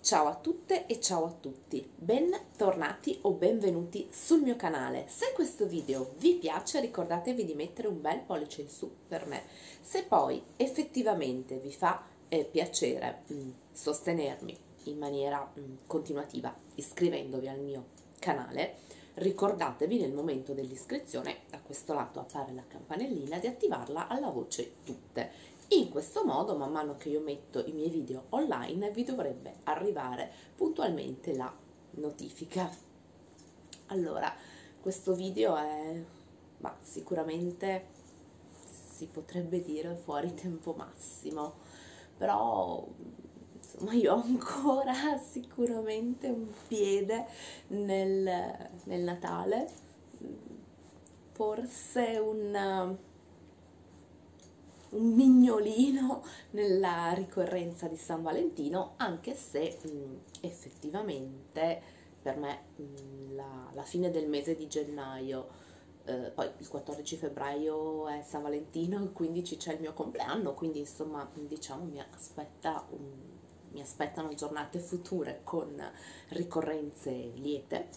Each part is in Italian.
Ciao a tutte e ciao a tutti, bentornati o benvenuti sul mio canale. Se questo video vi piace ricordatevi di mettere un bel pollice in su per me. Se poi effettivamente vi fa eh, piacere mh, mm, sostenermi in maniera mh, mm, continuativa iscrivendovi al mio canale, ricordatevi nel momento dell'iscrizione, da questo lato appare la campanellina, di attivarla alla voce riconosce tutte. In questo modo, man mano che io metto i miei video online, vi dovrebbe arrivare puntualmente la notifica. Allora, questo video è bah, sicuramente si potrebbe dire fuori tempo massimo, però insomma io ho ancora sicuramente un piede nel, nel Natale forse un, eh, un mignolino nella ricorrenza di San Valentino, anche se mh, mm, effettivamente per me mh, mm, la, la, fine del mese di gennaio, eh, poi il 14 febbraio è San Valentino, il 15 c'è il mio compleanno, quindi insomma mm, diciamo mi, aspetta un, mi aspettano giornate future con ricorrenze liete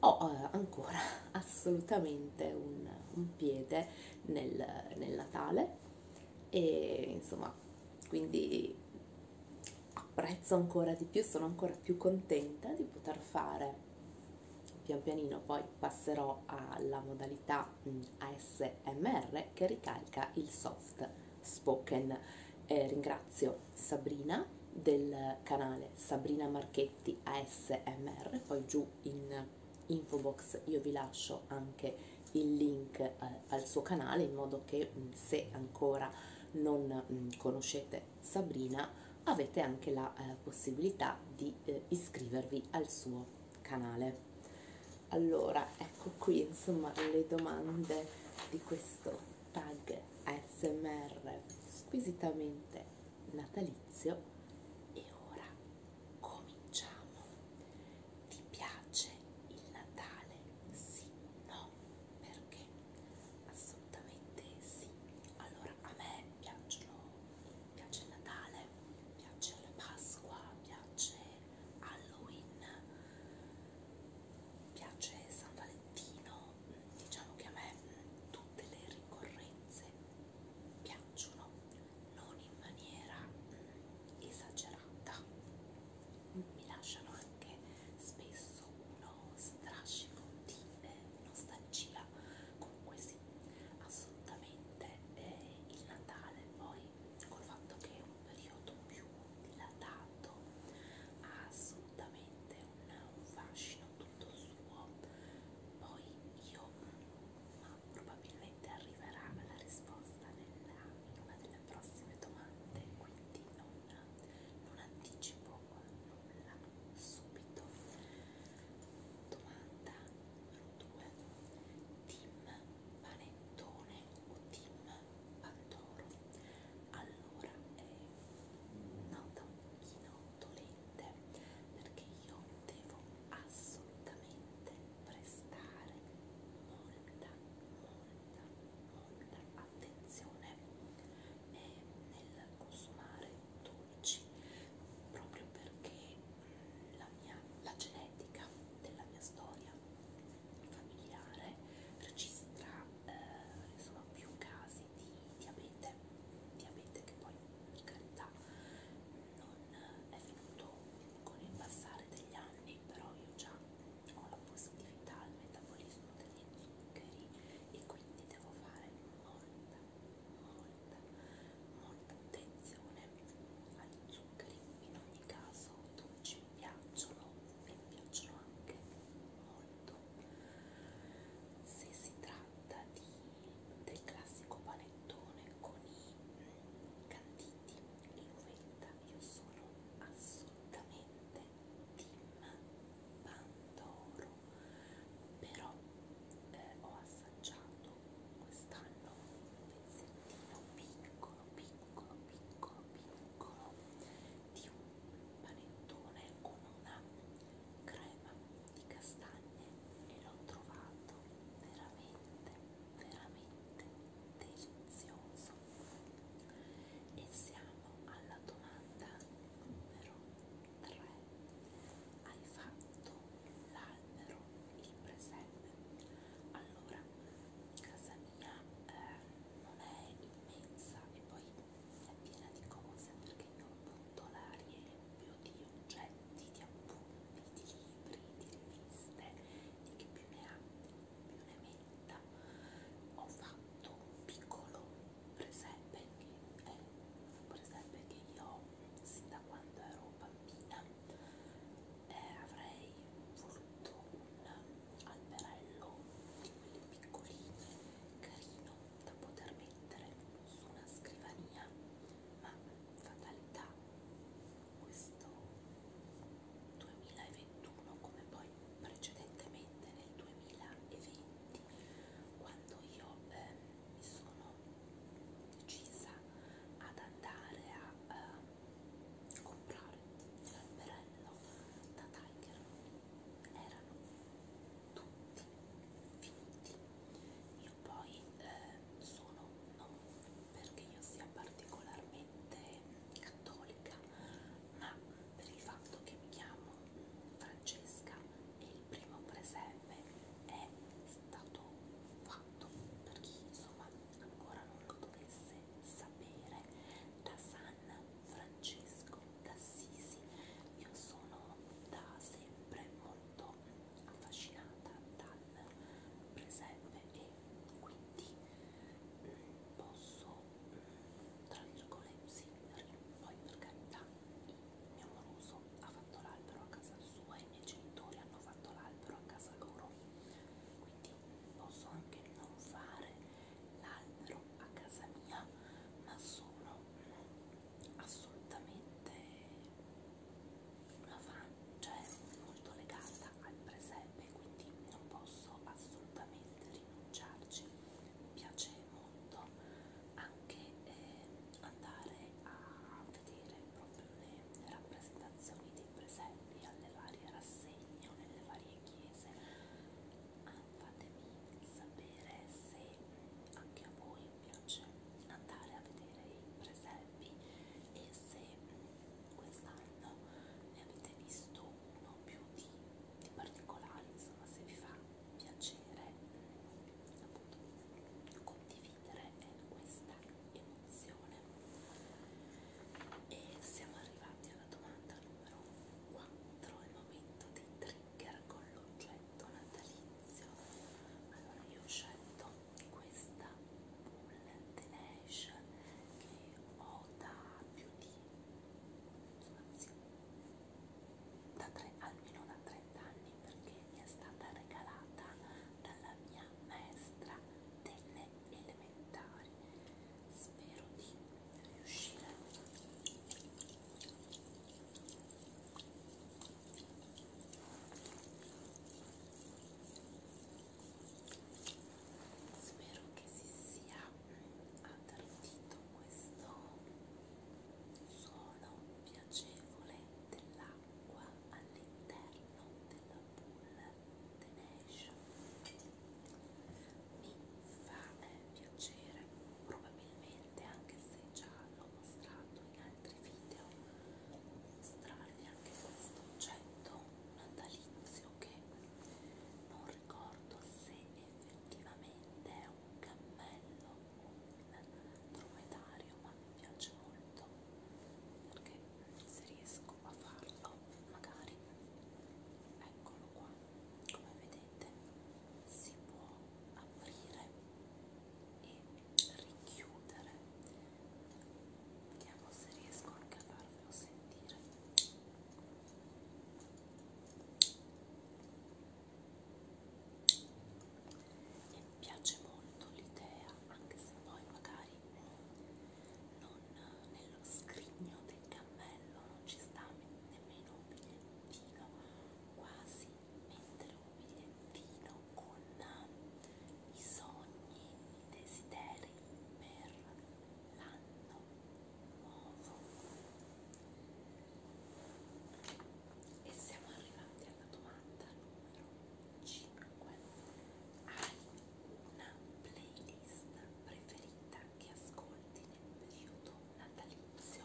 ho eh, ancora assolutamente un, un piede nel, nel Natale e insomma quindi apprezzo ancora di più, sono ancora più contenta di poter fare pian pianino poi passerò alla modalità mm, ASMR che ricalca il soft spoken. Eh, ringrazio Sabrina del canale Sabrina Marchetti ASMR, poi giù in info box io vi lascio anche il link eh, al suo canale in modo che mm, se ancora non mh, mm, conoscete Sabrina avete anche la eh, possibilità di eh, iscrivervi al suo canale. Allora, ecco qui insomma le domande di questo tag smr squisitamente natalizio e ora cominciamo ti piace il natale sì no perché assolutamente sì allora a me piacciono piace il natale piace la pasqua piace halloween piace san valentino diciamo che a me mm, tutte le ricorrenze piacciono, non in maniera mm, esagerata, mi lasciano anche spesso uno strascico di eh, nostalgia, comunque sì, assolutamente eh, il Natale poi col fatto che è un periodo più dilatato, ha assolutamente un, un fascino tutto suo. Poi io, ma probabilmente arriverà la risposta nella, in una delle prossime domande, quindi non, non anticipo nulla subito. Domanda numero 2. Team panettone o team Pandoro allora è nata un pochino dolente perché io devo assolutamente prestare molta molta molta attenzione nel consumare dolci proprio perché mm, la mia la genetica della mia storia familiare registra eh, insomma, più casi di diabete, diabete che poi per carità non è venuto con il passare degli anni, però io già ho la positività al metabolismo degli zuccheri e quindi devo fare molta, molta, molta attenzione agli zuccheri in ogni caso tu dolci mi piacciono e mi piacciono anche molto se si tratta di, del classico panettone con i mm, canditi in uvetta io sono assolutamente team pandoro però eh, ho assaggiato quest'anno un pezzettino piccolo piccolo piccolo piccolo di un panettone con una crema di castagne e l'ho trovato veramente, veramente delizioso. E siamo alla domanda numero 3. Hai fatto l'albero, il presepe? Allora, casa eh, non è immensa e poi è piena di cose perché io appunto la riempio di oggetti, di appunti, di libri, di riviste, di chi più ne ha, più ne metta. Ho fatto un piccolo presepe che è un presepe che io sin da quando ero bambina eh, avrei voluto un alberello di quelli piccolini, carino da poter mettere su una scrivania, ma fatalità questo 2021 come poi precedentemente nel 2020 quando io eh, mi sono decisa ad andare a eh, comprare l'alberello da Tiger erano tutti finiti io poi eh, sono non perché io sia particolarmente cattolica ma per il fatto che mi chiamo Francesca e il primo presepe è stato fatto per chi insomma ancora non lo dovesse sapere da San Francesco d'Assisi. Io sono da sempre molto affascinata dal presepe e quindi mm, posso, mm, tra virgolette, sì, poi per carità il mio amoroso ha fatto l'albero a casa sua e i miei genitori hanno fatto l'albero a casa loro quindi posso anche non fare l'albero a casa mia ma sono assolutamente una fan cioè molto legata al presepe quindi non posso assolutamente rinunciarci mi piace molto anche eh, andare a vedere proprio le rappresentazioni dei presepi alle varie rassegne o nelle varie varie chiese ah, fatemi sapere se anche a voi piace andare a vedere i presepi e se quest'anno ne avete visto uno più di, di particolari insomma se vi fa piacere appunto condividere questa emozione attenzione e siamo arrivati alla domanda numero 4 il momento dei trigger con l'oggetto natalizio allora io ho scelto questa bullet lash che ho da più di anzi, da tre, almeno da 30 anni perché mi è stata regalata dalla mia maestra delle elementari spero di riuscire spero che si sia attrattito questo suono piacevole dell'acqua all'interno della pool The Nation mi fa eh, piacere probabilmente anche se già l'ho mostrato in altri video mostrarvi anche questo oggetto natalizio che non ricordo se effettivamente è un cammello o un dromedario ma mi piace molto perché se riesco a farlo magari eccolo qua come vedete si può aprire e richiudere vediamo se riesco anche a farvelo sentire e mi piace molto l'idea anche se poi magari non nello scrigno del cammello non ci sta nemmeno un bigliettino quasi mettere un bigliettino con i sogni i desideri per l'anno nuovo e siamo arrivati alla domanda numero hai una playlist preferita che ascolti nel periodo natalizio?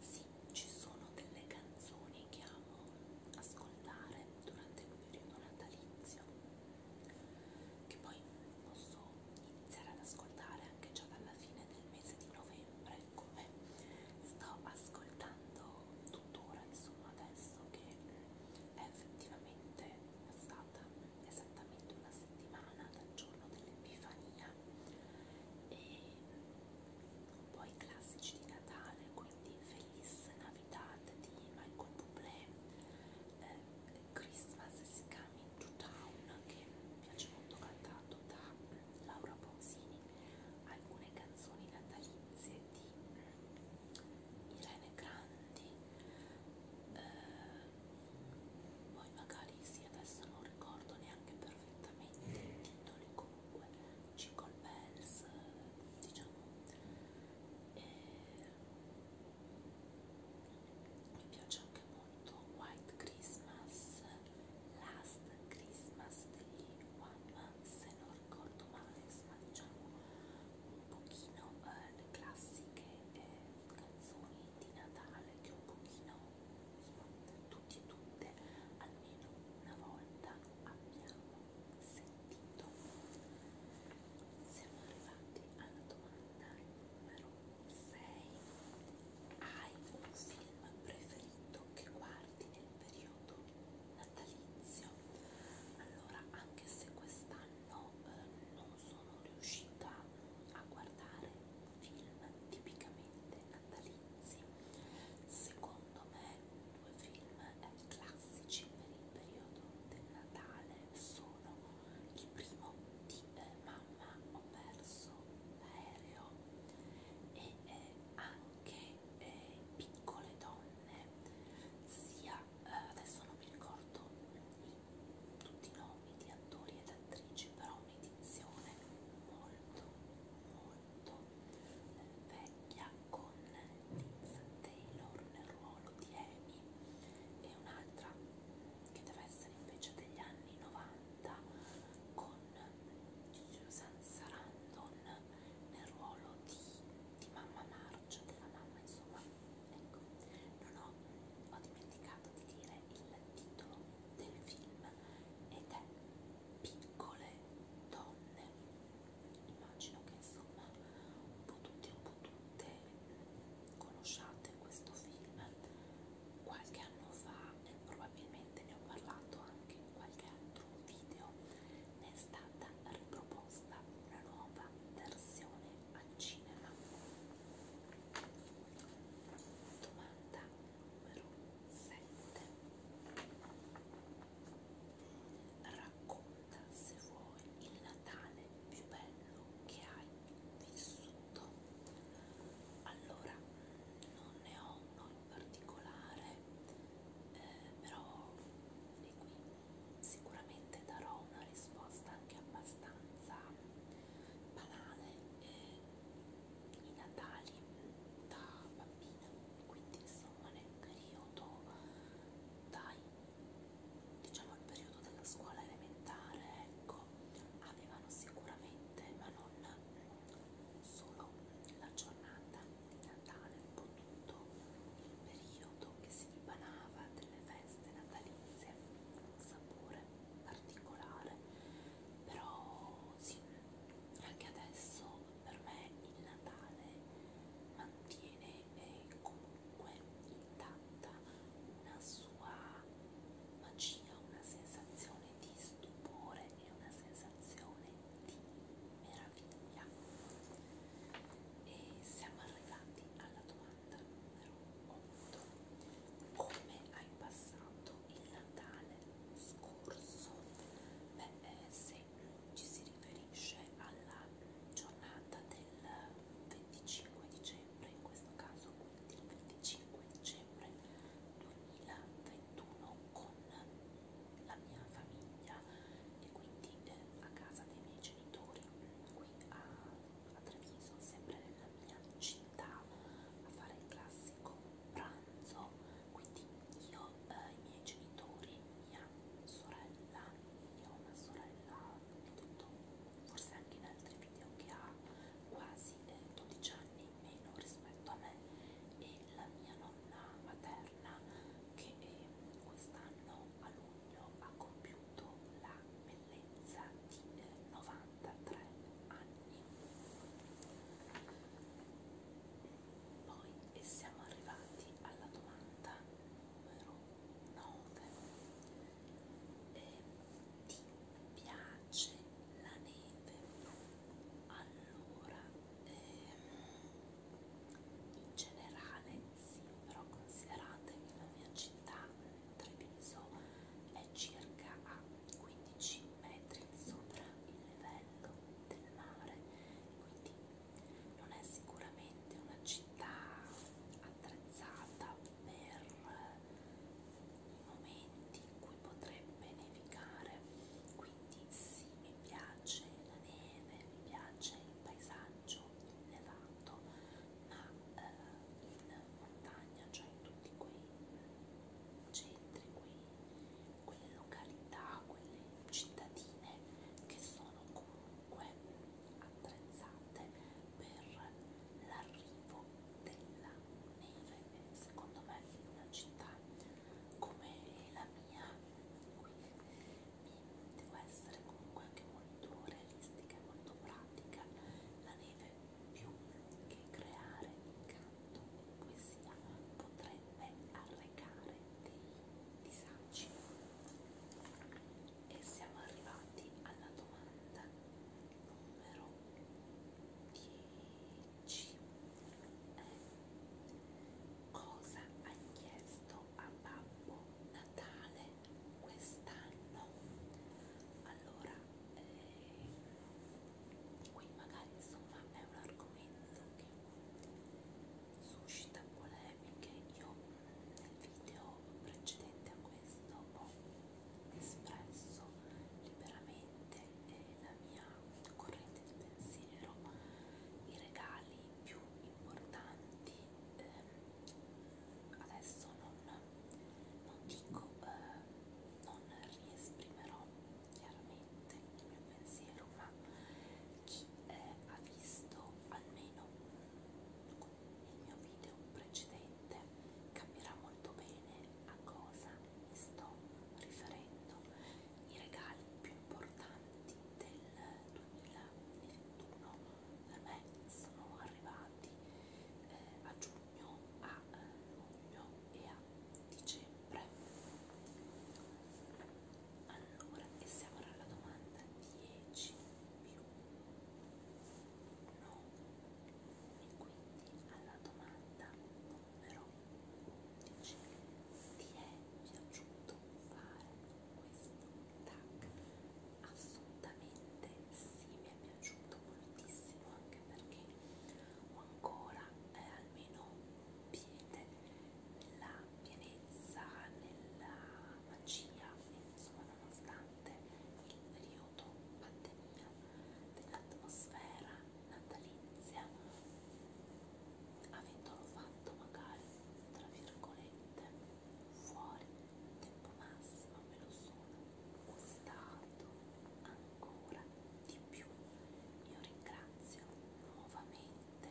Sì, ci sono delle canzoni che amo ascoltare durante il periodo natalizio, che poi posso iniziare ad ascoltare anche già dalla fine del mese di novembre, come sto ascoltando tuttora, insomma, adesso che è effettivamente passata esattamente una settimana dal giorno dell'Epifania e un po' i classici di Natale, quindi Feliz Navidad di Michael Bublé, eh, Christmas is Coming to Town che mi piace molto cantato da Laura Pausini, alcune canzoni natalizie di Irene cioè, Grandi eh, poi magari sì adesso non ricordo neanche perfettamente i titoli comunque Jingle Bells diciamo e mi piace anche molto White Christmas Last Christmas degli One se non ricordo male, ma diciamo un pochino eh, le classiche eh, canzoni di Natale che un pochino insomma, tutti e tutte almeno una volta abbiamo sentito. Siamo arrivati alla domanda numero 6. Hai un film preferito che guardi nel periodo? periodo natalizio allora anche se quest'anno eh, non sono riuscita a guardare film tipicamente natalizi secondo me due film eh, classici per il periodo del Natale sono il primo di eh, Mamma ho perso l'aereo e eh, anche eh, Piccole donne sia eh, adesso non mi ricordo i, tutti i nomi di attori ed attrici, però un'edizione molto, molto eh, vecchia con Liz Taylor nel ruolo di Amy e un'altra che deve essere invece degli anni 90 con Susan Sarandon nel ruolo di, di mamma Marcia, della mamma insomma, ecco, non ho, ho dimenticato di dire il titolo del film ed è Piccole Donne, immagino che insomma un po' tutti un po' tutte conosciate questo film qualche anno fa e probabilmente ne ho parlato anche in qualche altro video ne è stata riproposta una nuova versione al cinema. Domanda numero 7. Racconta se vuoi il Natale più bello che hai vissuto. Allora, non ne ho uno in particolare eh, però di qui sicuramente darò una risposta anche abbastanza banale eh, i natali da bambina quindi insomma nel periodo dai diciamo il periodo della scuola elementare ecco avevano sicuramente ma non solo la giornata di Natale un po' tutto il periodo che si dipanava delle feste natalizie, un sapore particolare, però sì, anche adesso per me il Natale mantiene eh, comunque intatta una sua magia, una sensazione di stupore e una sensazione di meraviglia e siamo arrivati alla domanda numero 8 come hai passato il Natale scorso? beh eh, se ci si riferisce alla giornata del 25 dicembre in questo caso quindi il 25 dicembre 2021 con la mia famiglia e quindi eh, a casa dei miei genitori qui a, a Treviso, sempre nella mia città, a fare il classico pranzo. Quindi io, eh, i miei genitori, mia sorella, io ho una sorella, ho detto forse anche in altri video che ha quasi eh, 12 anni in meno rispetto a me e della mia nonna materna che eh, quest'anno a luglio ha compiuto la bellezza di 93 eh, anni. Poi e eh, siamo arrivati alla domanda numero 9. E ti piace la neve? Allora eh, in generale sì, però consideratevi la mia città, Treviso, è circa a 15 metri sopra il livello del mare, quindi non è sicuramente una città attrezzata per eh, i momenti in cui potrebbe nevicare, quindi sì, mi piace la neve, mi piace il paesaggio elevato, ma eh, in montagna, cioè in tutti quei centri, quei, quelle località, quelle cittadine che sono comunque attrezzate per l'arrivo della neve, secondo me in una città come la mia quindi devo essere comunque anche molto realistica e molto pratica la neve più che creare incanto e poesia potrebbe arrecare dei disagi e siamo arrivati alla domanda numero 10 c. Eh. Cosa hai chiesto a Babbo Natale quest'anno? Allora, eh, qui magari insomma è un argomento che suscita polemiche. Io nel video precedente a questo ho espresso liberamente eh, la mia corrente di pensiero i regali più importanti eh, adesso non, non dico eh, non riesprimerò chiaramente il mio pensiero ma chi eh, ha visto almeno il mio video precedente capirà molto bene a cosa sto riferendo i regali più importanti del 2021 per me sono arrivati eh, a giugno, a eh, luglio e a dicembre allora e siamo alla domanda 10 più 9 e quindi alla domanda numero dice ti è piaciuto fare questo tag assolutamente sì mi è piaciuto moltissimo anche perché ho ancora eh, almeno un piede nella pienezza nella magia insomma nonostante il periodo pandemia dell'atmosfera natalizia avendolo fatto magari tra virgolette fuori tempo massimo me lo sono gustato ancora di più io ringrazio nuovamente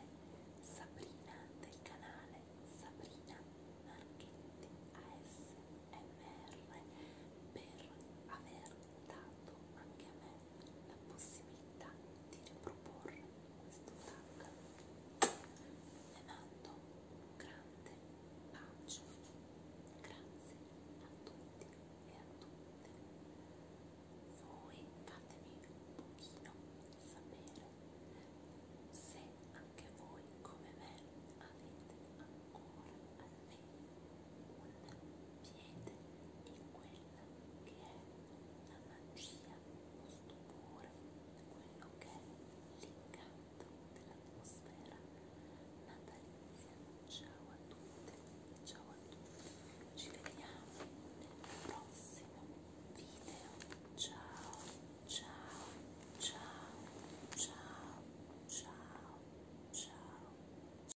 Sabrina del canale Sabrina Marchetti ASMR per aver dato anche a me la possibilità di riproporre questo tag le mando un grande bacio grazie a tutti e a tutte voi fatemi un pochino sapere se anche voi come me avete ancora almeno mettere un piede in quella che è la magia, lo stupore, quello che è l'incanto dell'atmosfera natalizia. Ciao a tutti, ciao a tutti, ci vediamo nel prossimo video. Ciao, ciao, ciao, ciao, ciao, ciao.